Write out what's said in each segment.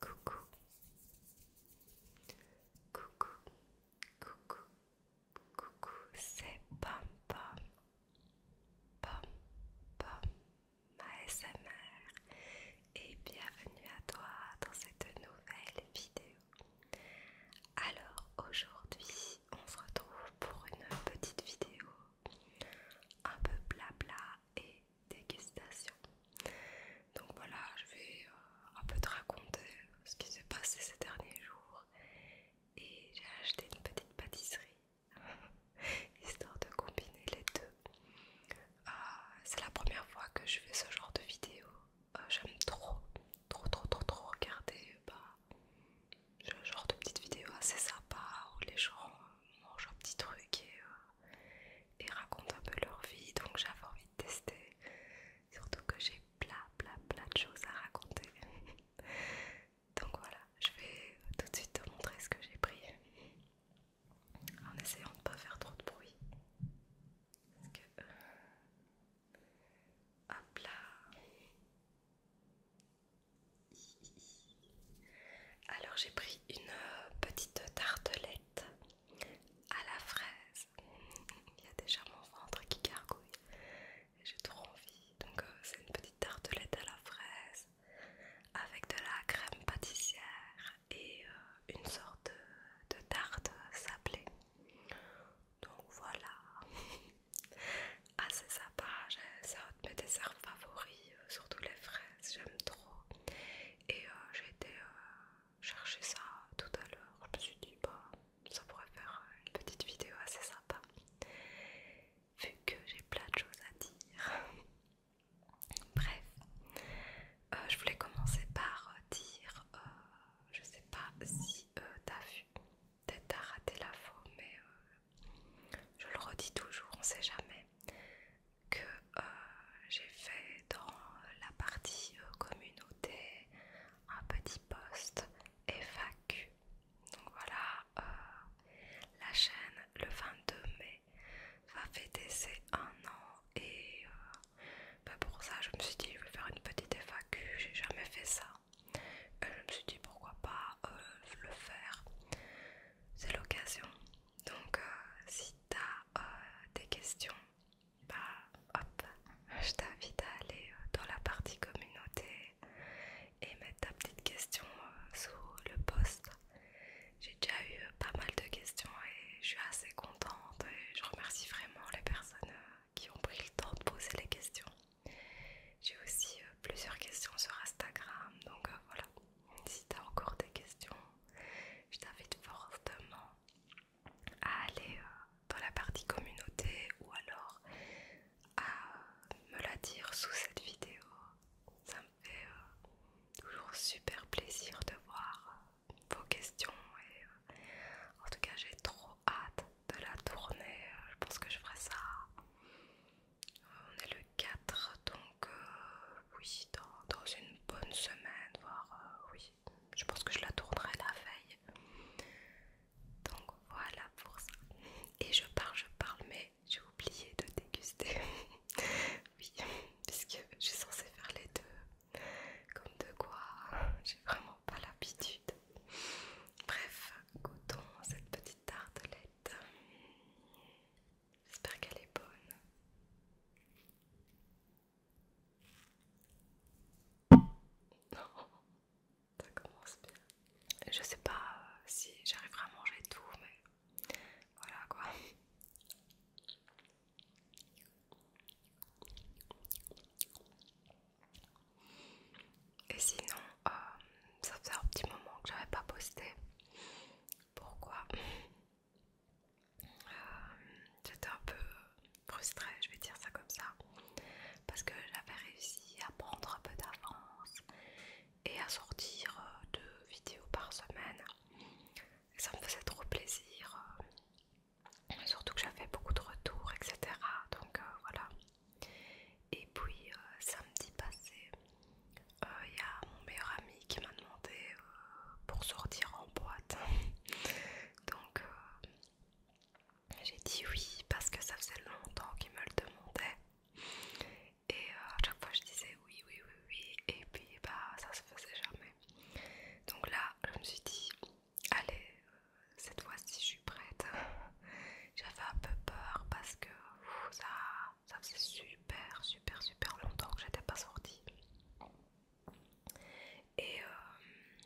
Coucou. Coucou. Coucou. Coucou, c'est Pom Pom. Pom Pom, ma SMR. Et bienvenue à toi dans cette nouvelle vidéo. Alors aujourd'hui, on se retrouve pour une petite vidéo un peu blabla et dégustation. Donc voilà, je vais euh, un peu te raconter ce qui s'est passé ces derniers jours. Et j'ai acheté une petite pâtisserie, histoire de combiner les deux. Euh, c'est la première fois que je fais ce genre de vidéo. Euh, j'aime trop, trop, trop, trop, trop regarder bah, ce genre de petites vidéos assez sympa où les gens mangent un petit truc et, euh, racontent un peu leur vie. Donc j'avais envie de tester. Surtout que j'ai plein, plein, plein de choses à raconter. donc voilà, je vais tout de suite te montrer ce que j'ai pris en essayant de ne pas faire trop de bruit. Parce que, euh, hop là. Alors j'ai pris une euh, petite tartelette à la fraise. Il y a déjà mon ventre qui gargouille. J'ai trop envie. Donc euh, c'est une petite tartelette à la fraise avec de la crème pâtissière et euh, une sorte de, tarte sablée. Donc voilà. Assez sympa, c'est un de mes desserts favoris, surtout les fraises j'aime trop. Et euh, j'ai été euh, chercher ça tout à l'heure. Je me suis dit, bah, ça pourrait faire une petite vidéo assez sympa. Vu que j'ai plein de choses à dire. Bref, euh, je voulais commencer par dire, je sais pas si t'as vu, peut-être t'as raté la faux, mais je le redis toujours, on sait jamais que euh, j'ai fait dans la partie euh, communauté un petit post FAQ. Donc voilà, euh, la chaîne le 22 mai va fêter ses un an et bah, pour ça je me suis dit je vais faire une petite FAQ, j'ai jamais fait ça. Et je me suis dit pourquoi pas euh, le faire, c'est l'occasion. Donc, euh, si tu as euh, des questions, bah hop, je t'invite à aller dans la partie communauté et mettre ta petite question sous le post. J'ai déjà eu pas mal de questions et je suis assez contente et je remercie vraiment les personnes qui ont pris le temps de poser les questions. J'ai aussi plusieurs questions sur Instagram, donc voilà si tu as encore des questions, je t'invite fortement à aller euh, dans la partie communauté ou alors à euh, me la dire sous cette vidéo. Ça me fait euh, toujours super plaisir de voir vos questions et en tout cas j'ai trop hâte de la tourner. Je pense que je ferai ça on est le 4, donc euh, oui, dans, une bonne semaine, voire euh, oui, je pense que je la tournerai la veille. Donc voilà pour ça. Et je parle, je parle, mais j'ai oublié de déguster. oui, puisque je suis censée faire les deux. Comme de quoi, j'ai vraiment pas l'habitude. Bref, goûtons cette petite tartelette. J'espère qu'elle est bonne. Ça commence bien. Je sais pas euh, si j'arriverai à manger tout, mais voilà quoi. Et sinon, euh, ça faisait un petit moment que j'avais pas posté. Pourquoi euh, J'étais un peu frustrée, je vais dire ça comme ça, parce que j'avais réussi à prendre un peu d'avance et à sortir euh, deux vidéos par semaine. ça me faisait trop plaisir, euh, surtout que j'avais beaucoup de retours, etc. Donc voilà. Et puis euh, samedi passé, il euh, y a mon meilleur ami qui m'a demandé euh, pour sortir en boîte. Donc j'ai dit oui parce que ça faisait longtemps qu'il me le demandait. Et à chaque fois je disais oui, oui, oui, oui. Et puis bah ça se faisait jamais. Donc là je me suis dit allez, cette fois-ci je suis prête. J'avais un peu peur parce que ça ça faisait super, super, super longtemps que j'étais pas sortie. Et, euh,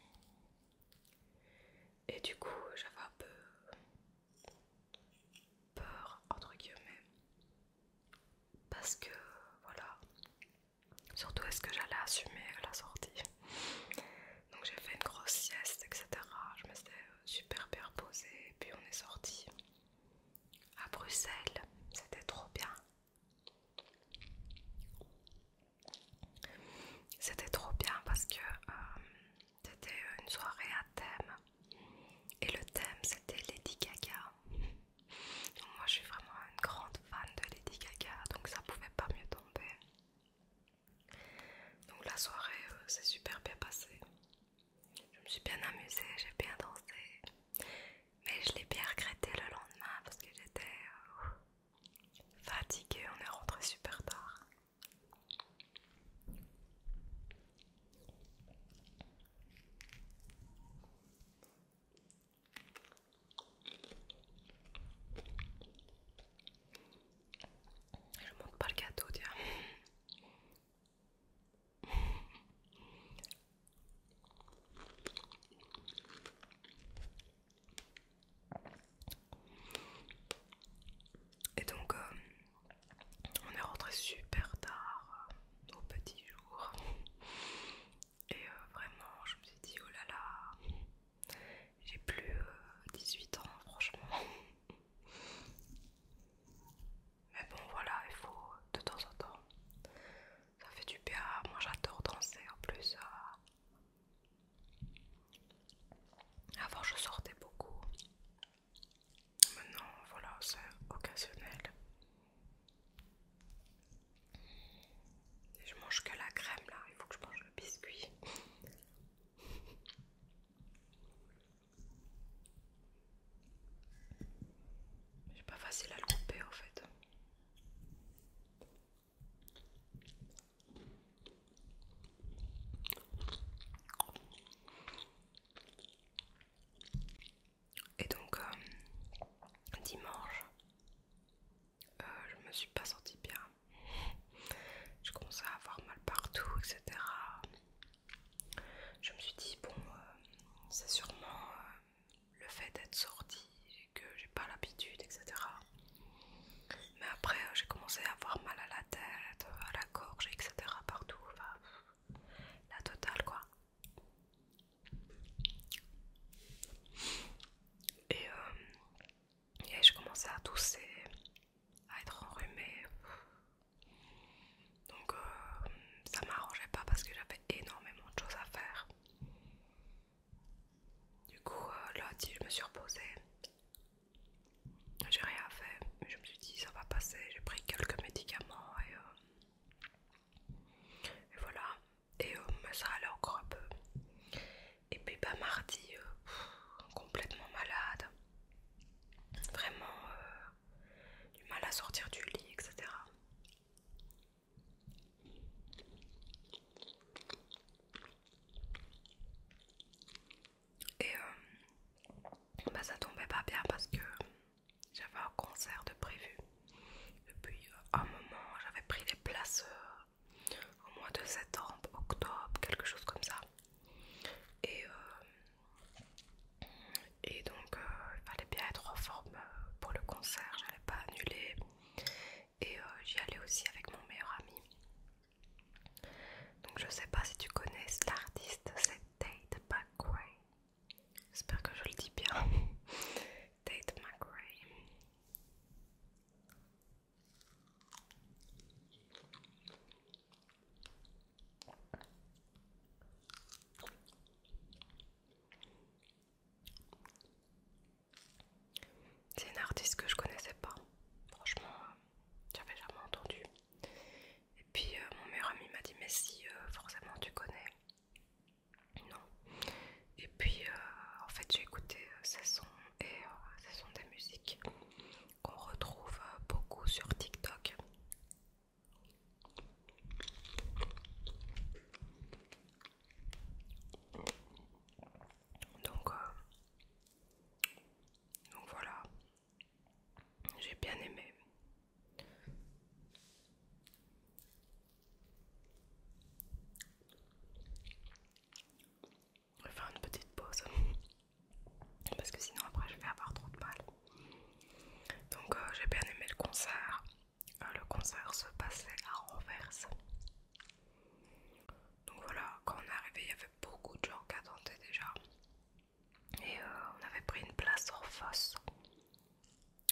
et du coup, j'avais un peu peur, entre guillemets, parce que voilà, surtout est-ce que j'allais assumer la sortie. Donc j'ai fait une grosse sieste, etc. Je super bien posé et puis on est sorti à Bruxelles, c'était trop bien. C'était trop bien parce que euh, c'était une soirée à thème et le thème c'était Lady Gaga. moi je suis vraiment une grande fan de Lady Gaga donc ça pouvait pas mieux tomber. Donc la soirée c'est euh, s'est super bien passée. Je me suis bien amusée, j'ai bien dansé, mais je l'ai bien regretté le lendemain parce que j'étais euh, fatiguée, on est rentré super tard. Je montre pas le gâteau, tiens. Et donc, euh, on est rentré super tard euh, au petit jour. Et euh, vraiment, je me suis dit, oh là là, j'ai plus 18 ans, franchement. Mais bon voilà, il faut de temps en temps. Ça fait du bien. Moi j'adore danser en plus. Euh. Avant je sortais beaucoup. Maintenant voilà, c'est occasionnel. je mange que la crème là, il faut que je mange le biscuit. J'ai pas facile à le couper en fait. Et donc euh, dimanche, euh, je me suis pas sentie bien je commençais à avoir mal partout, etc. Je me suis dit, bon, euh, c'est sûrement euh, le fait d'être sortie et que j'ai pas l'habitude, etc. Mais après, euh, j'ai commencé à avoir mal à la tête, à la gorge, etc. partout. la totale, quoi. Et et je commençais à tousser, à être enrhumée. Donc euh, ça m'arrangeait pas parce que j'avais énormément de choses à faire. Du coup, euh, là lundi, je me suis reposée. J'ai rien fait. je me suis dit, ça va passer. J'ai pris quelques médicaments et, euh, voilà. Et ça allait encore un peu. Et puis, bah, mardi, complètement malade vraiment euh, du mal à sortir du lit, etc. Et euh, bah, ça tombait pas bien parce que j'avais un concert de prévu. Depuis un moment, j'avais pris les places euh, au mois de septembre, octobre, quelque chose comme ça. Et, euh, et donc, il euh, fallait bien être en forme euh, pour le concert, J'allais pas annuler. Et j'y allais aussi avec mon meilleur ami. Donc, je sais pas si tu connais l'artiste, c'est Tate McRae. J'espère que je le dis bien. Tate McRae. C'est une artiste que je connaissais pas, franchement, euh, j'avais jamais entendu. Et puis euh, mon meilleur ami m'a dit mais si euh, forcément tu connais. Non. Et puis en fait j'ai écouté ses sons et euh, ce sont des musiques qu'on retrouve euh, beaucoup sur TikTok. Euh, donc voilà, j'ai bien aimé. Je vais faire une petite pause parce que sinon après je vais avoir trop de mal. Donc euh, j'ai bien aimé le concert. Euh, le concert se passait à Renverse. Donc voilà, quand on est arrivé, il y avait beaucoup de gens qui attendaient déjà. Et euh, on avait pris une place en face.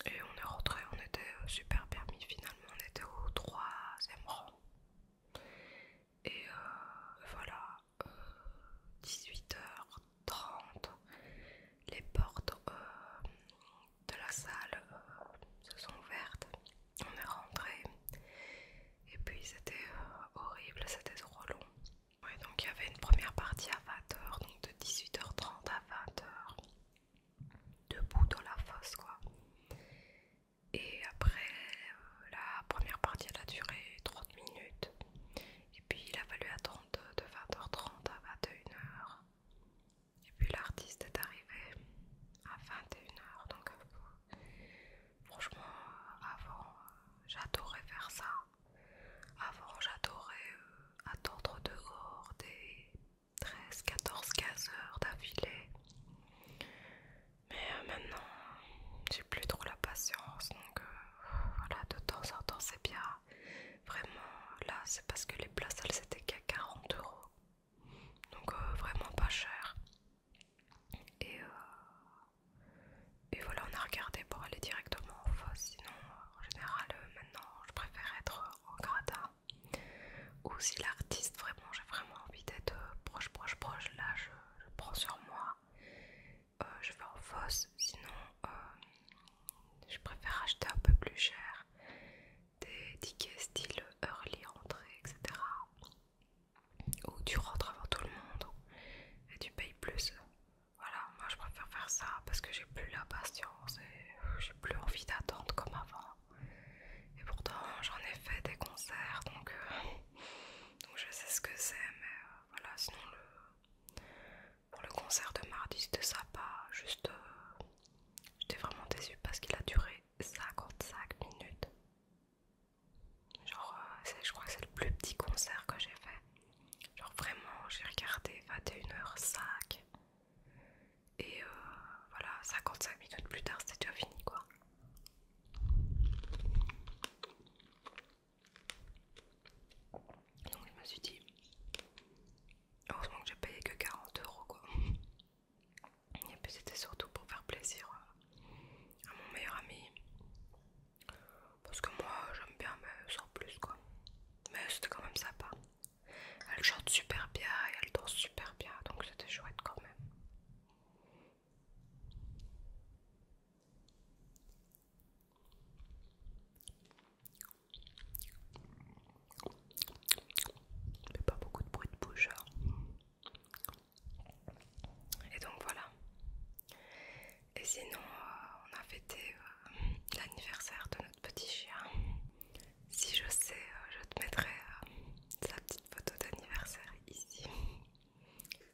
Et on est rentré, on était super permis finalement, on était au troisième rang. Et euh, voilà, 18h30, euh, les portes euh, de la salle se sont ouvertes. On est rentré. Et puis c'était horrible, c'était trop long. donc il y avait une première partie à 20h, donc de 18h30 à 20h, debout dans la fosse quoi. Et après, euh, la première partie elle a duré 30 minutes. Et puis il a fallu attendre de 20h30 à 21h. Et puis l'artiste est arrivé à 21h. Donc euh, franchement, euh, avant, j'adorais faire ça. Avant, j'adorais attendre dehors des 13, 14, 15 heures d'affilée. Mais euh, maintenant, j'ai plus trop la patience. Donc euh, voilà, de temps en temps, c'est bien. Vraiment, là, c'est parce que les places, elles c'était qu'à 40 euros. Donc euh, vraiment pas cher. Et, et voilà, on a regardé pour aller directement en face. Sinon, en général, maintenant, je préfère être en gratin Ou si l'artiste vraiment, j'ai vraiment envie d'être euh, proche, proche, proche. Là, je, prends sur moi. Euh, je vais en fosse, sinon euh, je préfère acheter un peu plus cher des tickets style early entrée, etc. Où tu rentres avant tout le monde et tu payes plus. Voilà, moi je préfère faire ça parce que j'ai plus la patience et j'ai plus envie d'attendre comme avant. Et pourtant j'en ai fait des concerts donc, euh, donc je sais ce que c'est mais euh, voilà sinon le, pour le concert de mardi c'était sympa juste euh, j'étais vraiment déçue parce qu'il a duré 55 minutes. Genre je crois que c'est le plus petit concert que j'ai fait. Genre vraiment j'ai regardé 21h05 et voilà 55 minutes plus tard c'était déjà fini quoi donc je me suis dit, heureusement que j'ai payé que 40 euros quoi. Et puis c'était surtout pour faire plaisir à mon meilleur ami. Parce que moi j'aime bien mais sans plus quoi. Mais c'était quand même sympa. Elle chante super bien et elle danse super bien donc c'était chouette quand même fais pas beaucoup de bruit de bouche. Hein. Et donc voilà. Et sinon, euh, on a fêté euh, l'anniversaire de notre petit chien. Si je sais, euh, je te mettrai sa petite photo d'anniversaire ici.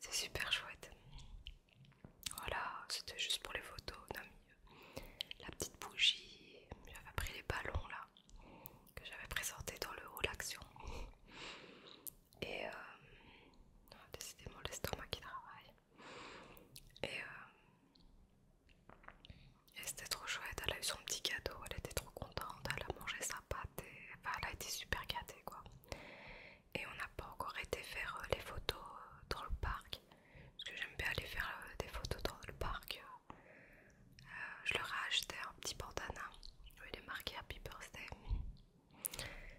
C'est super chouette. Voilà, c'était juste pour les photos. la petite bougie. J'avais pris les ballons là que j'avais présenté dans le haut l'action. Et euh, décidément l'estomac qui travaille. Et, euh, et c'était trop chouette. Elle a eu son petit cadeau. Elle était trop contente. Elle a mangé sa pâte elle a été super gâtée quoi. Et on n'a pas encore été faire euh, les photos euh, dans le parc. Parce que j'aime bien aller faire euh, des photos dans le parc. je leur ai acheté un petit bandana je il marquer marqué Happy Birthday.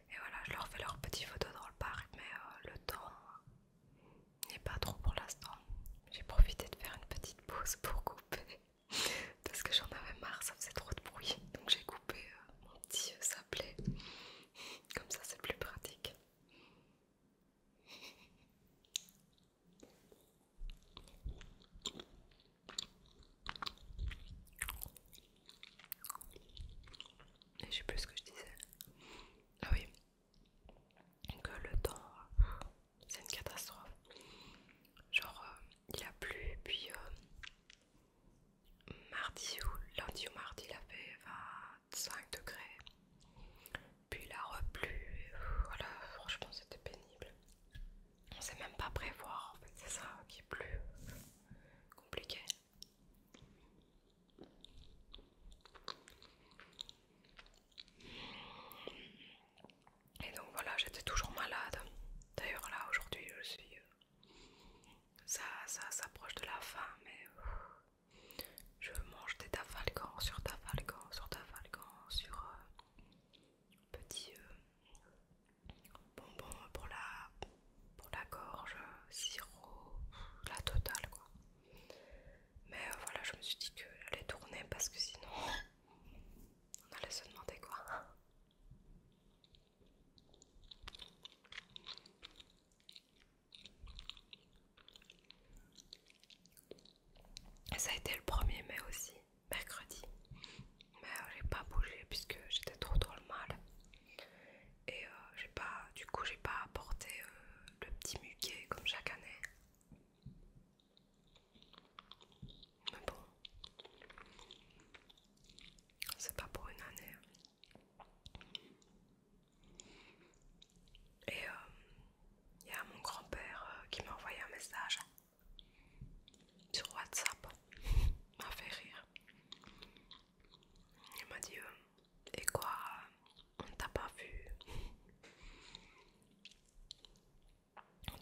Et voilà, je leur fais leurs petites photos dans le parc, mais le temps n'est pas trop pour l'instant. J'ai profité de faire une petite pause pour couper parce que j'en avais marre, ça faisait trop de bruit. Donc j'ai coupé euh, mon petit euh, sablé. Comme ça c'est plus pratique. je sais plus ce que je disais. Ah oui. Que le temps euh, c'est une catastrophe. Genre, euh, il a plu, puis euh, mardi ou lundi ou mardi, il a fait 25 degrés, puis il a replu. Voilà, franchement, c'était pénible. On sait même pas prévoir, en fait, c'est ça qui est plus compliqué. Et donc voilà, j'étais toujours malade. D'ailleurs là aujourd'hui je suis... Euh, ça, ça s'approche de la fin mais... Euh, je mange des tafalcans sur tafalcans sur tafalcans sur... Euh, petit bonbon pour la, pour la gorge, sirop, la totale quoi. Mais voilà, je me suis dit que j'allais tourner parce que sinon on allait se demander quoi. Et ça a été le 1er mai aussi, mercredi. Mais euh, j'ai pas bougé puisque j'étais trop dans le mal. Et euh, j'ai pas, du coup, j'ai pas apporté euh, le petit muquet comme chaque année. Mais ah bon, c'est pas pour une année. Hein. Et il euh, y a mon grand-père euh, qui m'a envoyé un message sur WhatsApp. m'a fait rire. Il m'a dit euh, Et quoi On ne t'a pas vu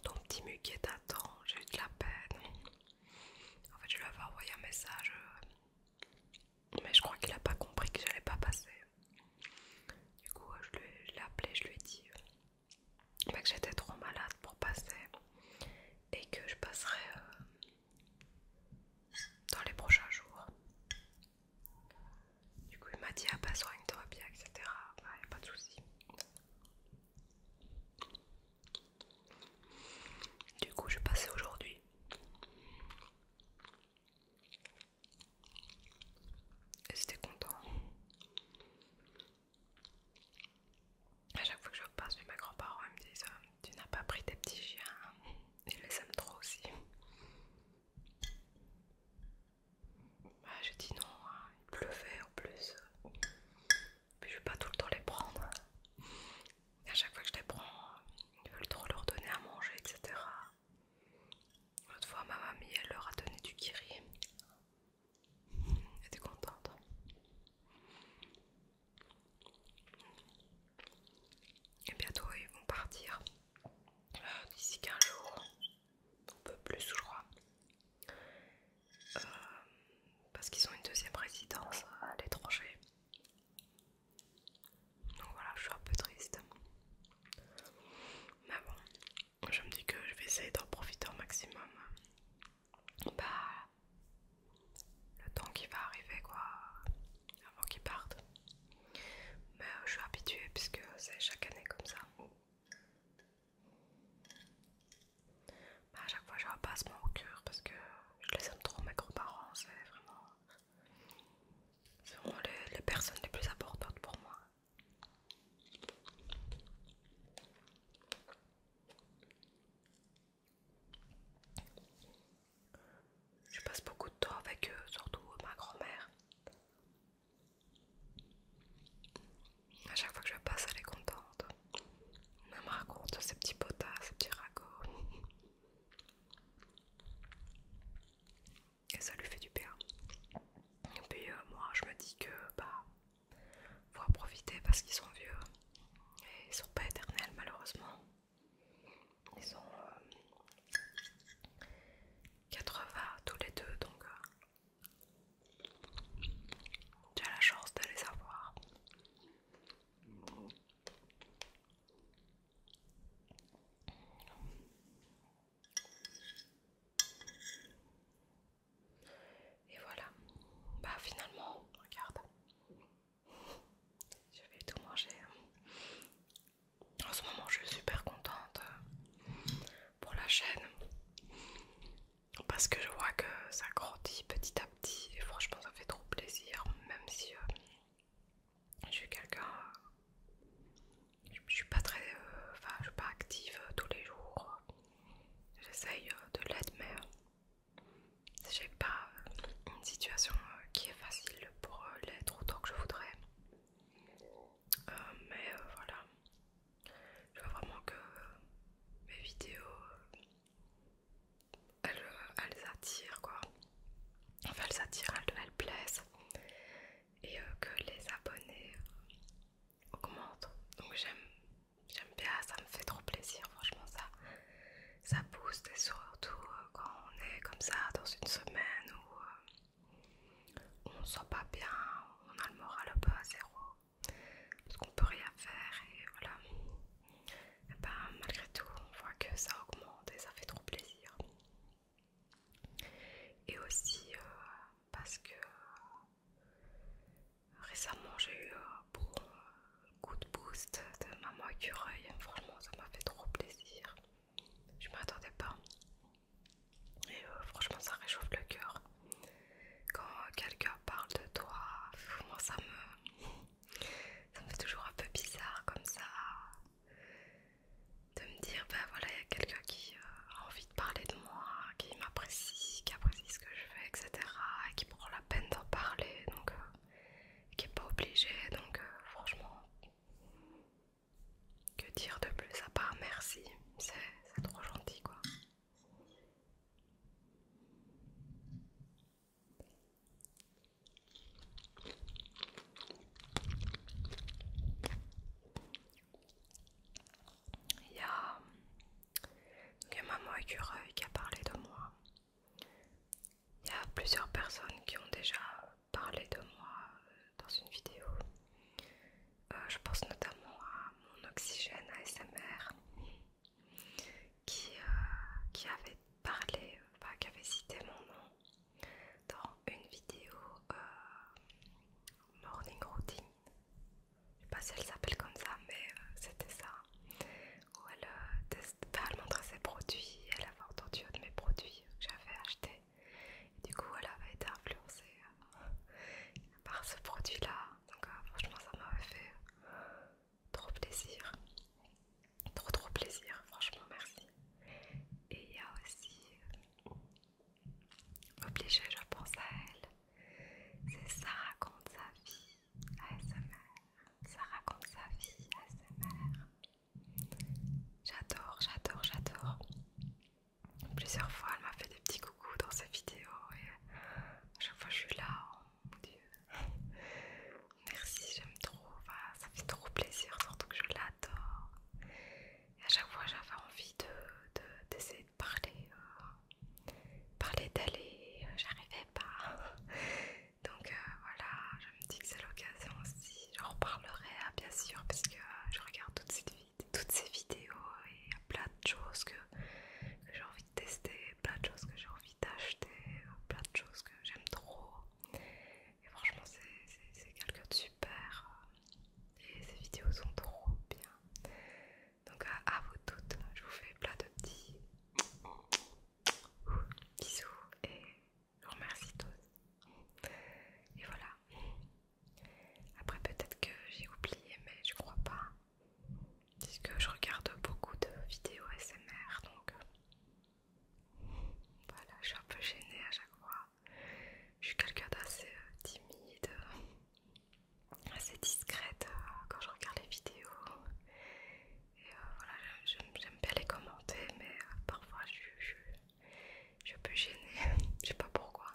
ton petit muquet t'attend, j'ai eu de la peine. En fait, je lui avais envoyé un message, euh, mais je crois qu'il a pas compris que je n'allais pas passer. Du coup, je l'ai appelé, je lui ai dit euh, bah, que j'étais trop malade pour passer et que je passerai euh, dans les prochains jours. Du coup, il m'a dit à ah, pas bah, soigne-toi bien, etc. il n'y a pas de souci. Du coup, je suis passée aujourd'hui. Et j'étais content. À chaque fois que je passe mes grands-parents, me disent euh, Tu n'as pas pris tes petits chiens Ils hein. les aiment trop aussi. Ah, j'ai dit non, hein. il pleuvait en plus. Puis je vais pas tout le temps les prendre. à chaque fois que je les prends, ils veulent trop leur donner à manger, etc. L'autre fois, ma mamie, elle leur a donné du kiri. Elle était contente. Et bientôt, ils vont partir. Euh, d'ici 15 jours un peu plus je crois euh, parce qu'ils ont une deuxième résidence à l'étranger donc voilà je suis un peu triste mais bon je me dis que je vais essayer d'en profiter au maximum bah le temps qui va arriver quoi avant qu'ils partent mais je suis habituée puisque c'est chaque année comme ça a bah, à chaque fois, je repasse mon au cœur parce que je les aime trop, mes grands-parents. C'est vraiment, les personnes les plus importantes pour moi. Je passe beaucoup de temps avec eux, surtout ma grand-mère. A chaque fois que je passe, elle est contente. Elle me raconte ses petits potas, ses petits ragots. Et ça lui fait du bien. Et puis euh, moi, je me dis que bah, faut en profiter parce qu'ils sont vieux. Et ils sont pas éternels malheureusement. Ils sont, euh, 80 tous les deux, donc tu euh, as la chance de les avoir. Et voilà, bah finalement, regarde, je vais tout manger. En ce moment, je suis super contente euh, pour la chaîne parce que je vois que ça grandit petit à petit et franchement, ça fait trop plaisir, même si euh, je suis quelqu'un. Je, suis pas très. Euh, enfin, je pas active tous les jours. J'essaye de l'être, mais j'ai pas une situation qui est facile pour l'être autant que je voudrais. Euh, mais euh, voilà, je vois vraiment que euh, mes vidéos elles, attirent quoi, enfin elles attirent, elles, elles plaisent et que les abonnés augmentent. Donc j'aime, j'aime bien, ça me fait trop plaisir, franchement ça, ça booste et surtout quand on est comme ça dans une semaine où on ne sent pas bien, on a le moral un peu à zéro, parce qu'on peut rien faire et voilà. Eh ben, malgré tout, on voit que ça augmente et ça fait trop plaisir. Et aussi euh, parce que euh, récemment j'ai eu un bon coup de boost de maman écureuil, franchement ça m'a fait trop plaisir. Je ne m'attendais pas. Et euh, franchement, ça réchauffe le cœur. Quand quelqu'un parle de toi, moi ça me, ça me fait toujours un peu bizarre comme ça de me dire ben voilà il y a quelqu'un qui euh, a envie de parler de moi, qui m'apprécie, qui apprécie ce que je fais, etc. Et qui prend la peine d'en parler, donc euh, qui n'est pas obligé. Donc franchement, que dire de plus à part merci, c'est trop gentil quoi. Il y a, Maman Écureuil qui a parlé de moi. Il y a plusieurs personnes qui ont déjà parler de moi euh, dans une vidéo. Euh, je pense notamment à mon oxygène ASMR qui, euh, qui avait parlé, enfin, qui avait cité mon nom dans une vidéo morning routine. Je sais pas si elle s'appelle comme ça, mais c'était ça. Où elle, elle montrait ses produits, elle avait entendu un de mes produits que j'avais acheté du coup, elle a été influencée euh, par ce produit-là. Donc, euh, franchement, ça m'avait fait trop plaisir. Trop, trop plaisir. Franchement, merci. Et il y a aussi euh, obligé, je pense à elle. C'est ça raconte sa vie ASMR. Ça raconte sa vie à ASMR. J'adore, j'adore, j'adore. Plusieurs fois, elle m'a fait des petits coucous dans sa vidéo et chaque fois, je suis là. Oh mon dieu. Merci, j'aime trop. ça fait trop plaisir, surtout que je l'adore. Et à chaque fois, j'avais envie d'essayer de, parler. Euh, parler d'aller, euh, j'arrivais pas. Donc euh, voilà, me dis que c'est l'occasion aussi, j'en reparlerai hein, bien sûr, parce que euh, je regarde toutes ces, vidéos et il y a plein de choses que, j'ai envie de tester, plein de choses que j'ai envie d'acheter, euh, plein de choses que j'aime trop. Et franchement, c'est quelqu'un de super. Euh, et ces vidéos sont trop bien. Donc à, vous toutes, je vous fais plein de petits bisous et vous remercie tous. Et voilà. Après, peut-être que j'ai oublié, mais je crois pas. Puisque je regarde beaucoup de vidéos SMR, donc voilà, je suis un peu gênée à chaque fois. Je suis quelqu'un d'assez euh, timide, assez discrète euh, quand je regarde les vidéos. Et euh, voilà, j'aime bien les commenter, mais parfois je, je peux gêner, je sais pas pourquoi.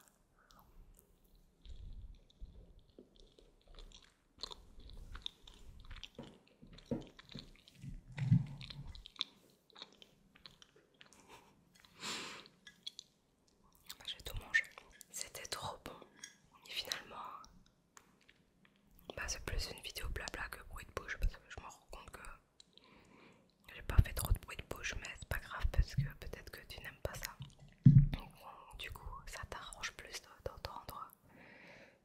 Bah, j'ai tout mangé. C'était trop bon. Et finalement, bah, c'est plus une vidéo blabla que bruit de bouche parce que je me rends compte que j'ai pas fait trop de bruit de bouche, mais c'est pas grave parce que peut-être que tu n'aimes pas ça. du coup, ça t'arrange plus d'entendre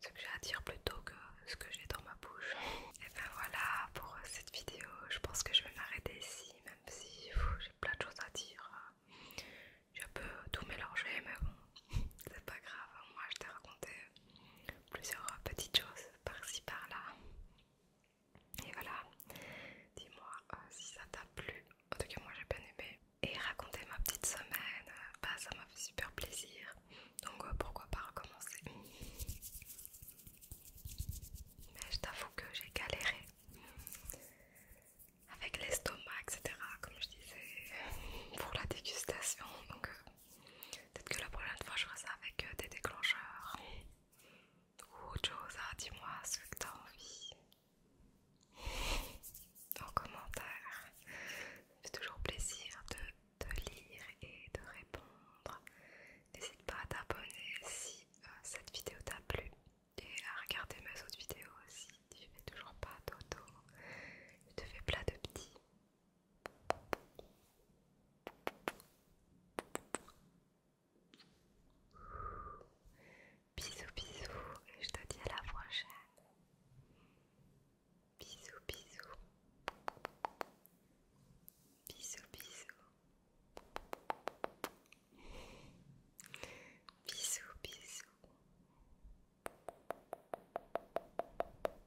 ce que j'ai à dire plutôt que ce que j'ai dans ma bouche. Et ben voilà pour cette vidéo. Je pense que je vais m'arrêter ici, même si j'ai plein de choses à dire. J'ai un peu tout mélanger mais bon, c'est pas grave. Moi, je t'ai raconté plusieurs petites choses par-ci par-là. Et voilà, dis-moi euh, si ça t'a plu. En tout cas, moi j'ai bien aimé. Et raconter ma petite semaine, euh, bah, ça m'a fait super plaisir. Donc euh, pourquoi pas recommencer Mais je t'avoue que j'ai galéré avec l'estomac, etc. Comme je disais, pour la dégustation. Donc Peut-être que la prochaine fois je ferai ça avec euh, des déclencheurs ou autre chose. Hein, dis-moi ce que t'as envie en commentaire. C'est toujours plaisir de te lire et de répondre. N'hésite pas à t'abonner si euh, cette vidéo t'a plu et à regarder mes autres vidéos si tu ne fais toujours pas d'auto. Je te fais plein de petits Bisous bisous et je te dis à la prochaine. Bisous bisous. Bisous bisous. Bisous bisous.